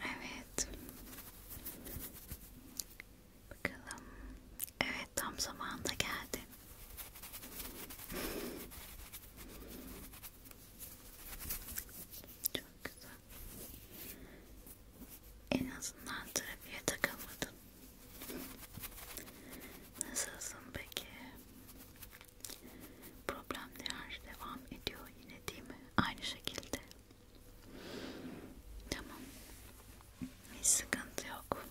Evet. Bakalım. Evet tam zamanında geldi. Çok güzel. En azından trafiğe takılmadın. Nasılsın peki? Problemler devam ediyor yine değil mi? Aynı şekilde. Tamam. Hiç sıkıntı yok.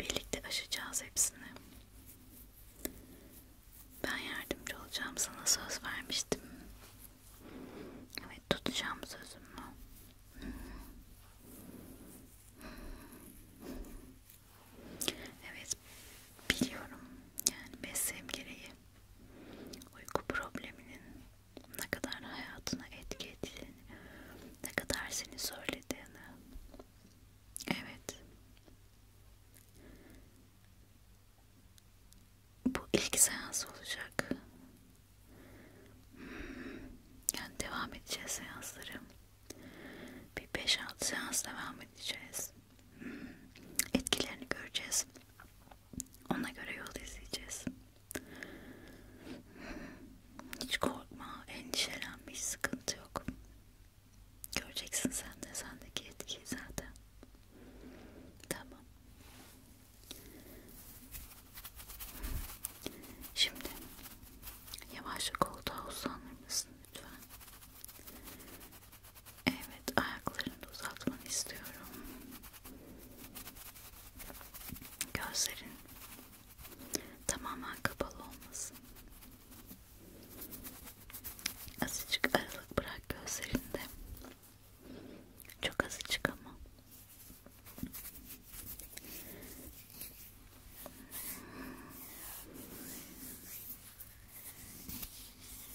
Birlikte aşacağız hepsini. Ben yardımcı olacağım sana söz vermiştim. Evet tutacağım sözümü. Evet biliyorum yani mesleğim gereği uyku probleminin ne kadar hayatına etki ettiğini, ne kadar seni söylediğini. Evet. Bu ilk seans olacak. Hmm, yani devam edeceğiz seansları. Bir 5-6 seans devam edeceğiz etkilerini göreceğiz. Ona göre yol izleyeceğiz. Hiç korkma, endişelenme, hiç sıkıntı yok. Göreceksin sen de sendeki etkiyi zaten. Tamam. Şimdi yavaşça koltuğa uzanır mısın lütfen? Evet, ayaklarını da uzatmanı istiyorum. Gözlerin tamamen kapalı olmasın. Azıcık aralık bırak gözlerinde. Çok azıcık ama.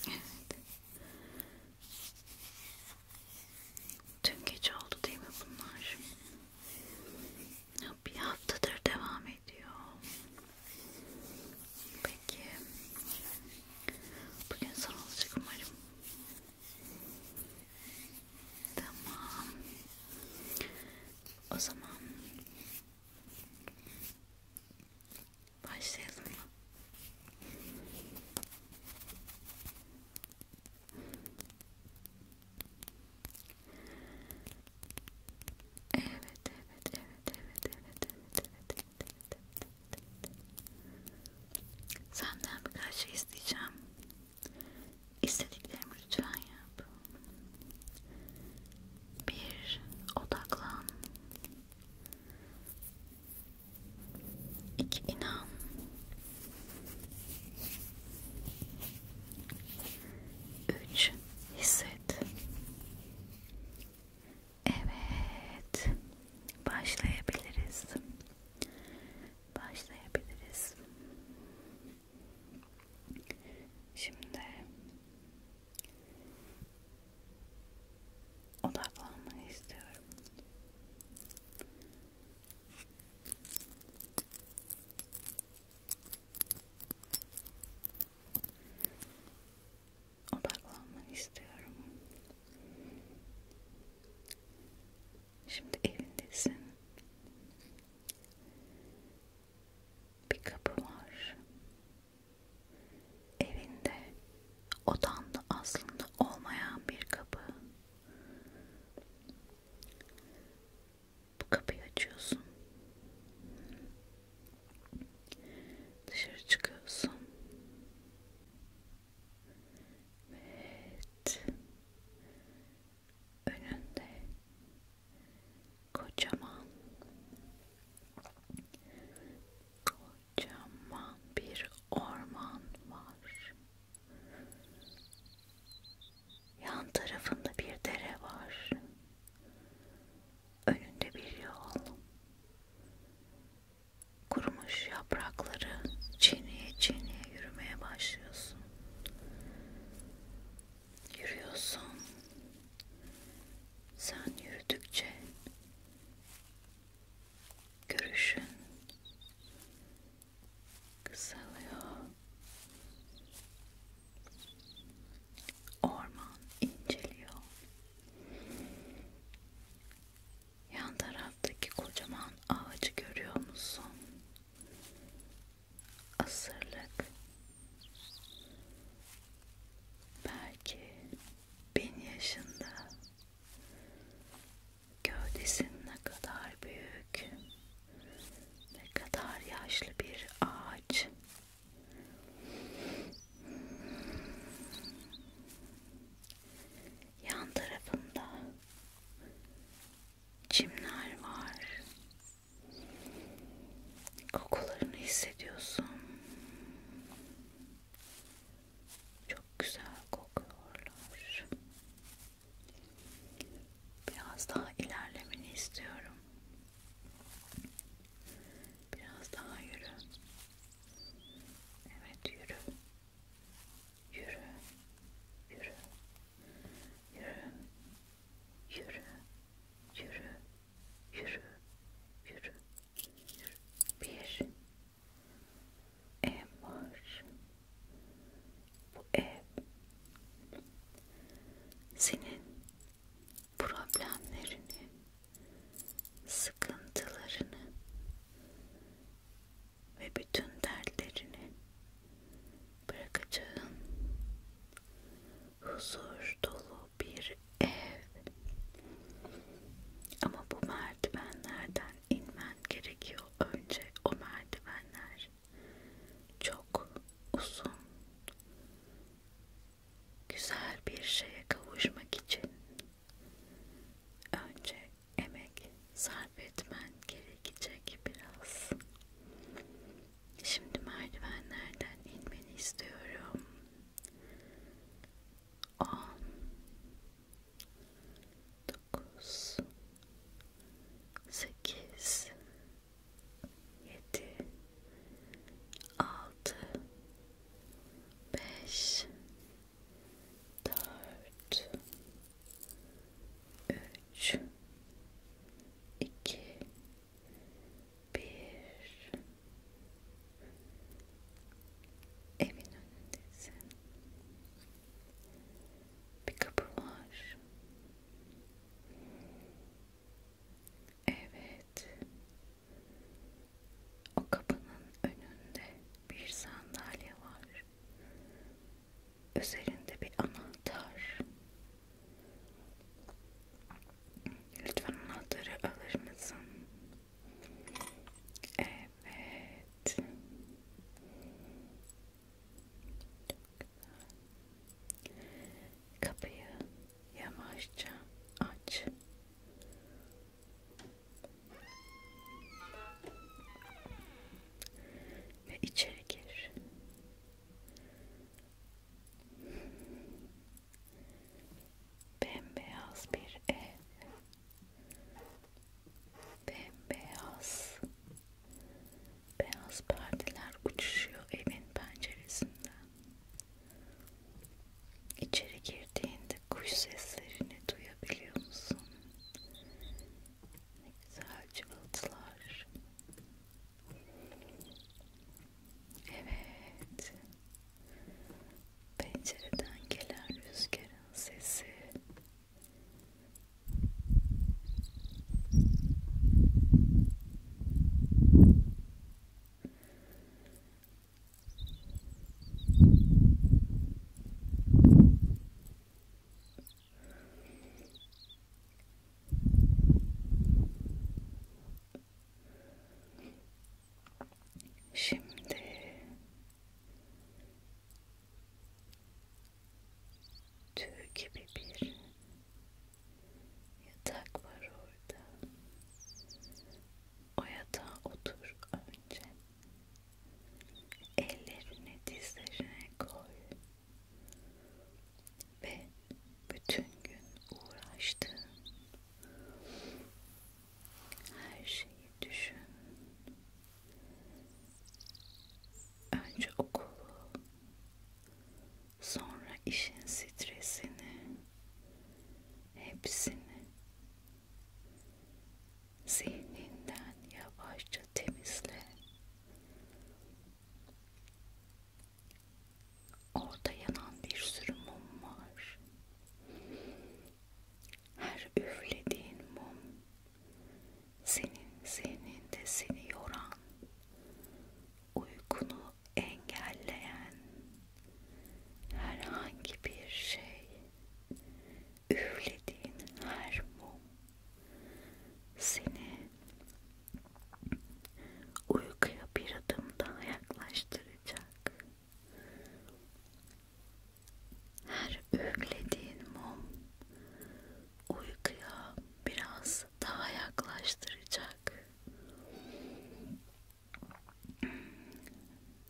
Evet. Tüm gece oldu değil mi bunlar? Bir haftadır devam ediyor. Peki. Bugün son olacak umarım. Tamam. O zaman Başlayalım mı? Evet, evet, evet, evet, evet, evet, evet, evet, evet, evet. Senden birkaç şey isteyeceğim. İstediklerimi lütfen yap. Bir odaklan. İki inan. Üç hisset. Evet. Başlayabiliriz. Başlayabiliriz. Şimdi odaklanmanı istiyorum. Odaklanmanı istiyorum. Şimdi evindesin bir kapı var. Evinde odanda aslında olmayan bir kapı. Bu kapıyı açıyorsun. Dışarı çıkıyorsun. Evet. Önünde kocaman kocaman bir orman var. Yan tarafında bir dere var. Önünde bir yol. Kurumuş yaprakları çiğneye çiğneye yürümeye başlıyorsun yürüyorsun. Sen yürüdükçe görüşün kısalıyor. Orman inceliyor. Yan taraftaki kocaman ağacı görüyor musun? asırlık belki bin yaşında gövdesinin ne kadar büyük ne kadar yaşlı bir ağaç yan tarafında çimler var Kokularını hissediyorsun. Çok güzel kokuyorlar. Biraz daha ilerlemeni istiyorum. Biraz daha yürü. Evet yürü. Yürü. Yürü. Yürü. Yürü, yürü, yürü, yürü, yürü. Bir ev var. Bu ev senin problemlerini, sıkıntılarını ve bütün dertlerini bırakacağın huzur dolu bir ev. Ama bu merdivenlerden inmen gerekiyor. Önce o merdivenler çok uzun. Güzel bir şeye kavuşmak için önce emek sarf etmen gerekecek biraz. Şimdi merdivenlerden inmeni istiyorum. 10 9 8 7 6 5 4 3 2 bir evin önündesin bir kapı var evet o kapının önünde bir sandalye var üzerinde bir anahtar Lütfen anahtarı alır mısın? Evet. Kapıyı yavaşça aç. Ve içeri gir. Bembeyaz bir ev. Bembeyaz. Beyaz perdeler uçuşuyor evin penceresinden. İçeri girdiğinde kuş seslerini duyabiliyor musun? Ne güzel cıvıltılar. Evet. Pencereden gelen rüzgarın sesi. Şimdi tüy gibi bir yatak var orada. O yatağa otur önce. Ellerini dizlerine koy ve bütün gün uğraştığın her şeyi düşün. Önce okulu, sonra işin stresini, hepsini zihninden yavaşça temizle Orada yanan bir sürü mum var. Her üflediğin mum senin zihninde seni yoran, uykunu engelleyen herhangi bir şey, üflediğin her mum seni uykuya bir adım daha yaklaştıracak. Her üflediğin mum uykuya biraz daha yaklaştıracak.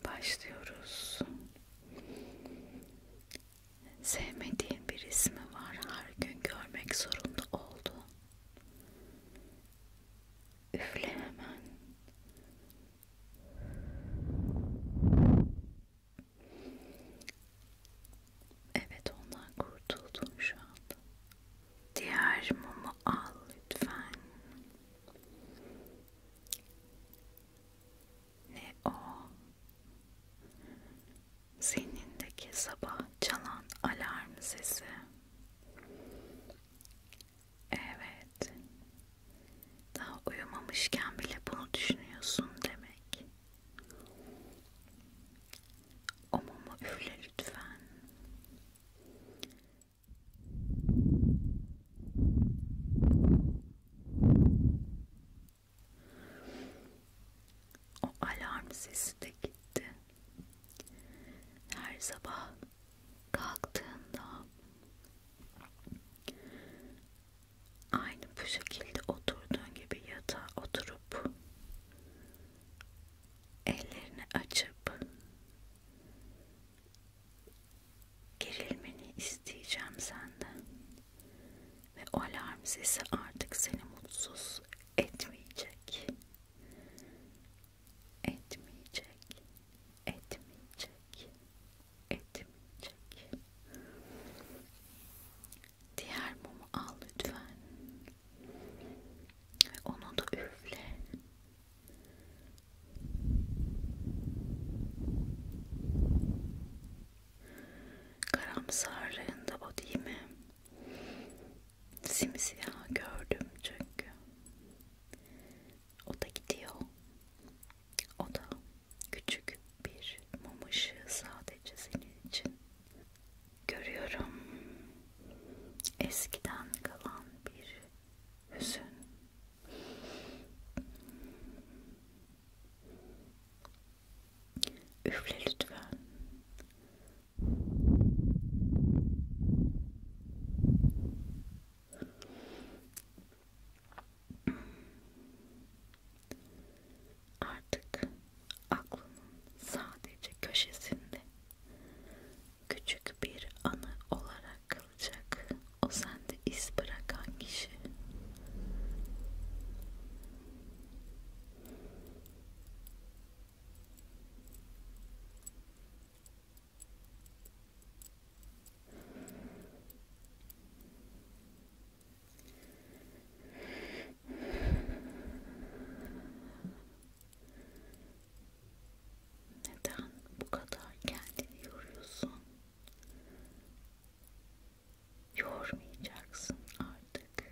Başlıyoruz. Sevmediğin bir ismi var, her gün görmek zorunda oldu. Üfle hemen. Evet ondan kurtuldun şu anda. Diğer mumu al lütfen ne o zihnindeki sabah çalan alarm sesi. Evet. Daha uyumamışken bile bunu düşünüyorsun demek. O mumu üfle lütfen. O alarm sesi de gitti. Her sabah kalktığında aynı bu şekilde oturduğun gibi yatağa oturup ellerini açıp gerilmeni isteyeceğim senden. Ve o alarm sesi artık seni mutsuz etmeyecek. Etmeyecek. Etmeyecek. Etmeyecek. Diğer mumu al lütfen. Ve onu da üfle. Karamsarlığında o değil mi? Simsiyah gördüm çünkü. O da gidiyor. O da küçük bir mum ışığı sadece senin için. Görüyorum eskiden kalan bir hüzün. Üfle lütfen. Artık aklının sadece köşesinde küçük bir anı olarak kalacak o sende iz bırakan kişi. Neden bu kadar kendini yoruyorsun? yormayacaksın artık.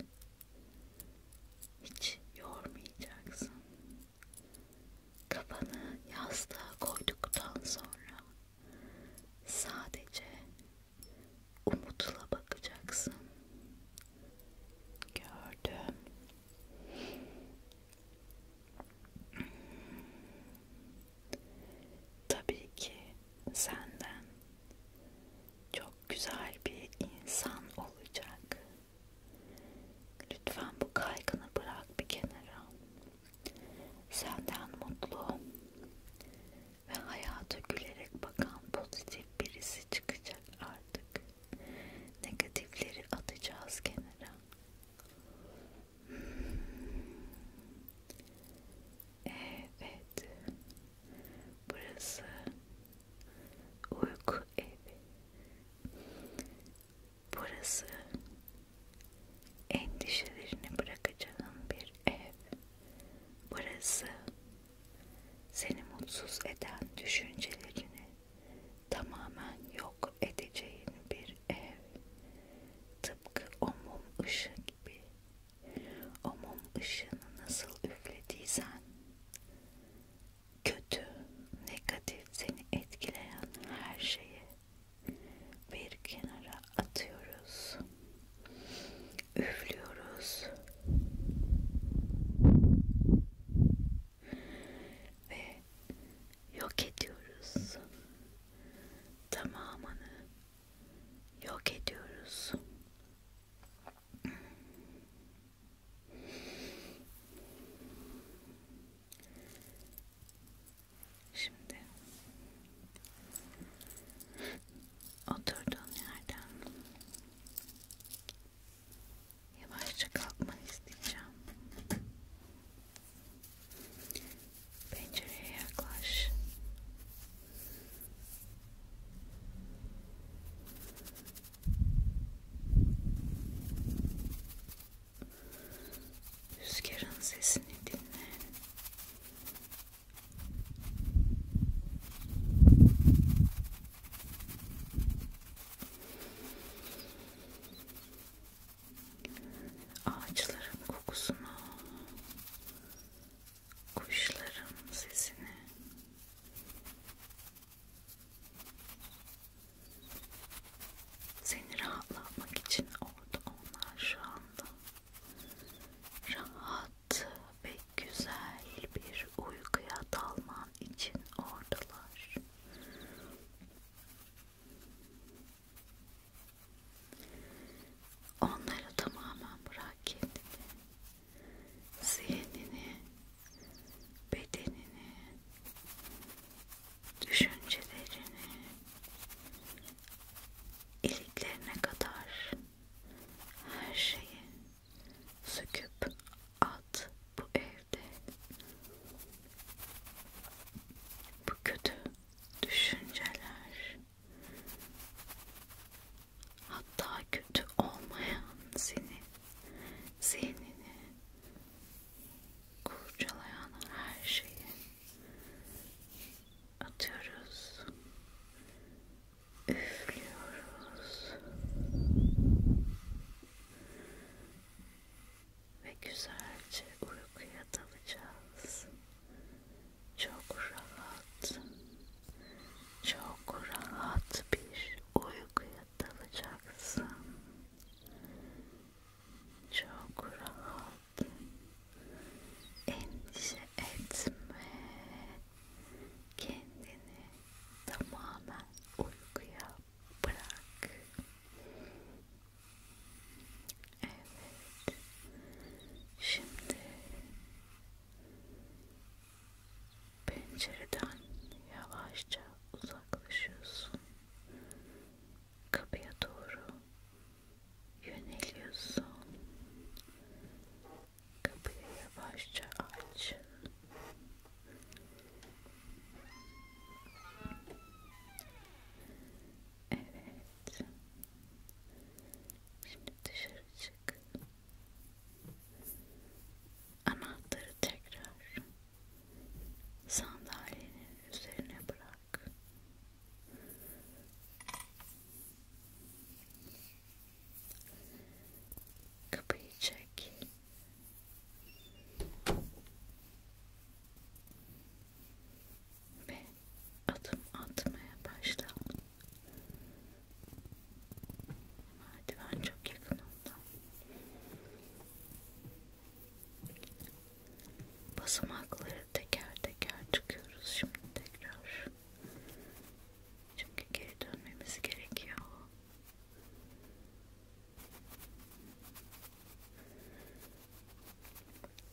Hiç yormayacaksın. Kafanı yastığa koyduktan sonra sadece umutla bakacaksın. Gördüm. Tabii ki senden çok güzel bir insan olacak. Lütfen bu kaygını bırak bir kenara. Senden mutlu ve hayata gülerek bakan pozitif birisi çıkacak artık. Negatifleri atacağız kenara. Evet. Burası uyku evi. Burası endişelerini bırakacağın bir ev. Burası seni mutsuz eden düşüncelerini tamamen yok edeceğin bir ev. Tıpkı o mum ışığı gibi o mum ışığını nasıl üflediysen kötü, negatif seni etkileyen her şeyi bir kenara atıyoruz. Üflüyoruz. Ve yok ediyoruz. Tamamını yok ediyoruz. Şimdi oturduğun yerden yavaşça kalkmanı isteyeceğim. Pencereye yaklaş. Rüzgarın sesini dinle ağaçların kokusunu, kuşların sesini seni rahatlatmak için orada onlar şu anda rahat ve güzel bir uykuya dalman için oradalar. Onları tamamen bırak kendini, zihnini, bedenini, düşüncelerini, iliklerine kadar her şeyi söküp at bu evde. Bu kötü düşünceler, Hatta kötü olmayan seni, zihnini kurcalayan her şeyi atıyoruz, üflüyoruz ve güzelce uykuya dalacağız çok rahat çok rahat bir uykuya dalacaksın çok rahat endişe etme kendini tamamen uykuya bırak Evet. Şimdi pencereden yavaşça uzaklaşıyorsun. Kapıya doğru yöneliyorsun. Kapıyı yavaşça aç. Evet. Şimdi dışarı çık. Anahtarı tekrar sandalyenin üzerine bırak. Kapıyı çek. Ve adım atmaya başladım. Merdiven çok yakınımda. Basamakları teker teker çıkıyoruz şimdi tekrar. Çünkü geri dönmemiz gerekiyor.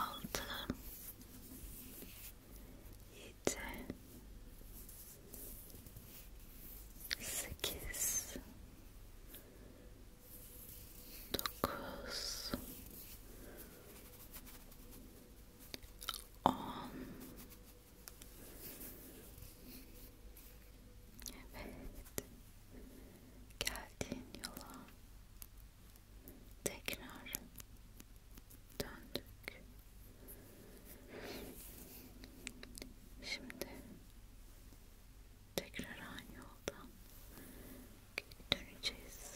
altı yedi sekiz dokuz on evet geldiğin yola tekrar döndük. Şimdi tekrar aynı yoldan döneceğiz.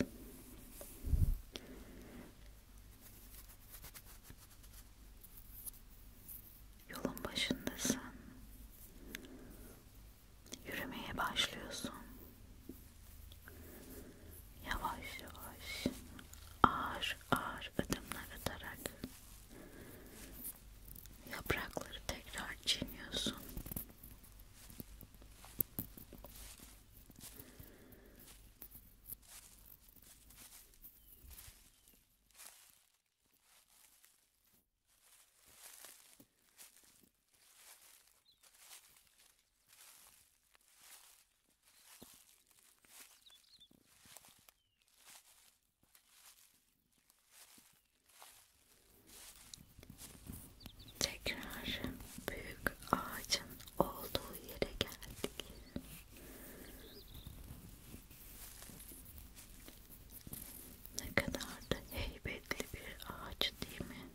Yolun başındasın yürümeye başlıyorsun. Yavaş yavaş ağır ağır adımlar atarak yaprakları tekrar çiğniyorsun. Tekrar büyük ağacın olduğu yere geldik. Ne kadar da heybetli bir ağaç değil mi?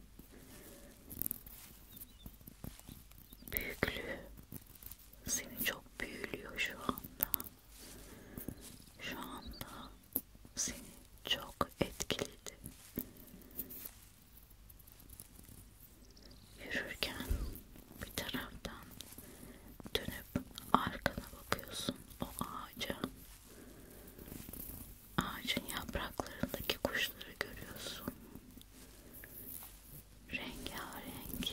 büyüklüğü seni çok büyülüyor şu anda. Şu anda seni çok etkiledi. Yürürken bir taraftan dönüp arkana bakıyorsun o ağaca. Ağacın yapraklarındaki kuşları görüyorsun. Rengarenk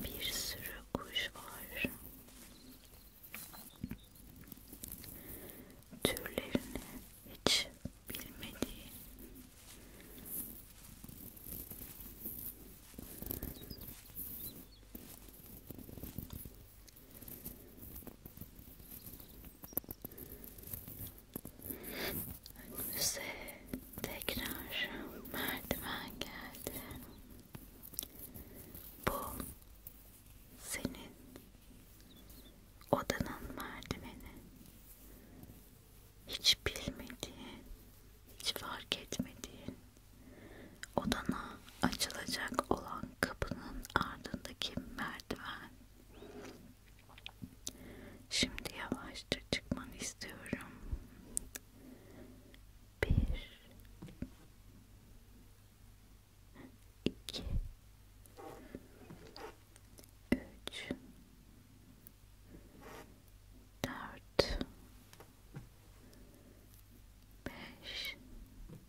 bir sürü kuş var. Türlerini hiç bilmediğin Önümüze tekrar merdiven geldi. Bu senin odanın merdiveni. Hiç bilmediğin, hiç fark etmediğin odana açılacak olan kapının ardındaki merdiven. Şimdi yavaşça çıkmanı istiyorum. Bir, iki, üç, dört, beş, 6 7 8 9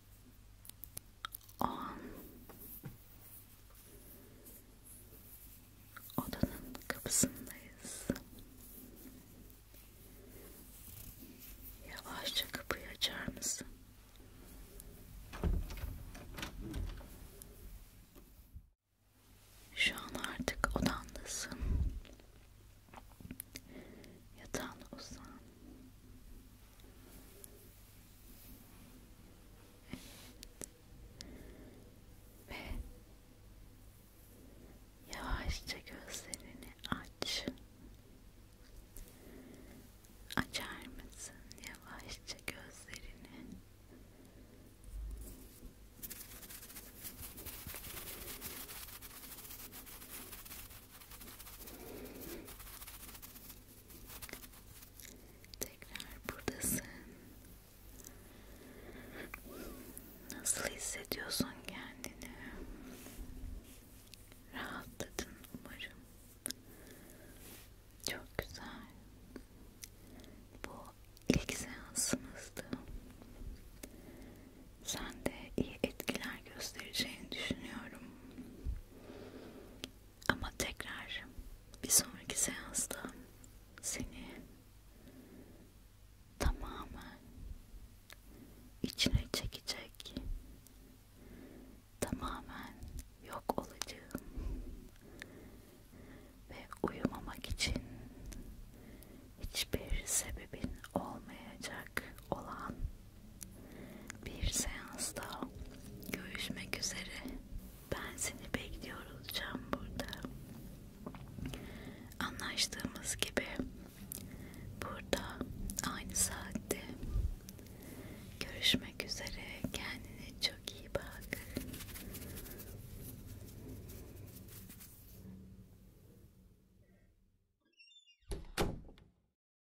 an odanın kapısındayız. Yavaşça kapıyı açar mısın? Şu an artık odandasın. Yatağına uzan. Evet. Ve yavaşça gözlerini aç. Açar mısın yavaşça gözlerini? Tekrar buradasın. Nasıl hissediyorsun kendini? Rahatladın umarım. Çok güzel. Bu ilk seansımızdı. Sen de iyi etkiler göstereceğini düşünüyorum. Ama tekrar bir sonraki seansta seni tamamen içine çekecek, tamamen yok olacağım ve uyumamak için hiçbir sebebin olmayacak olan bir seans daha görüşmek üzere. Ben seni bekliyor olacağım burada. Anlaştığımız gibi burada aynı saatte görüşmek üzere. Kendine çok iyi bak.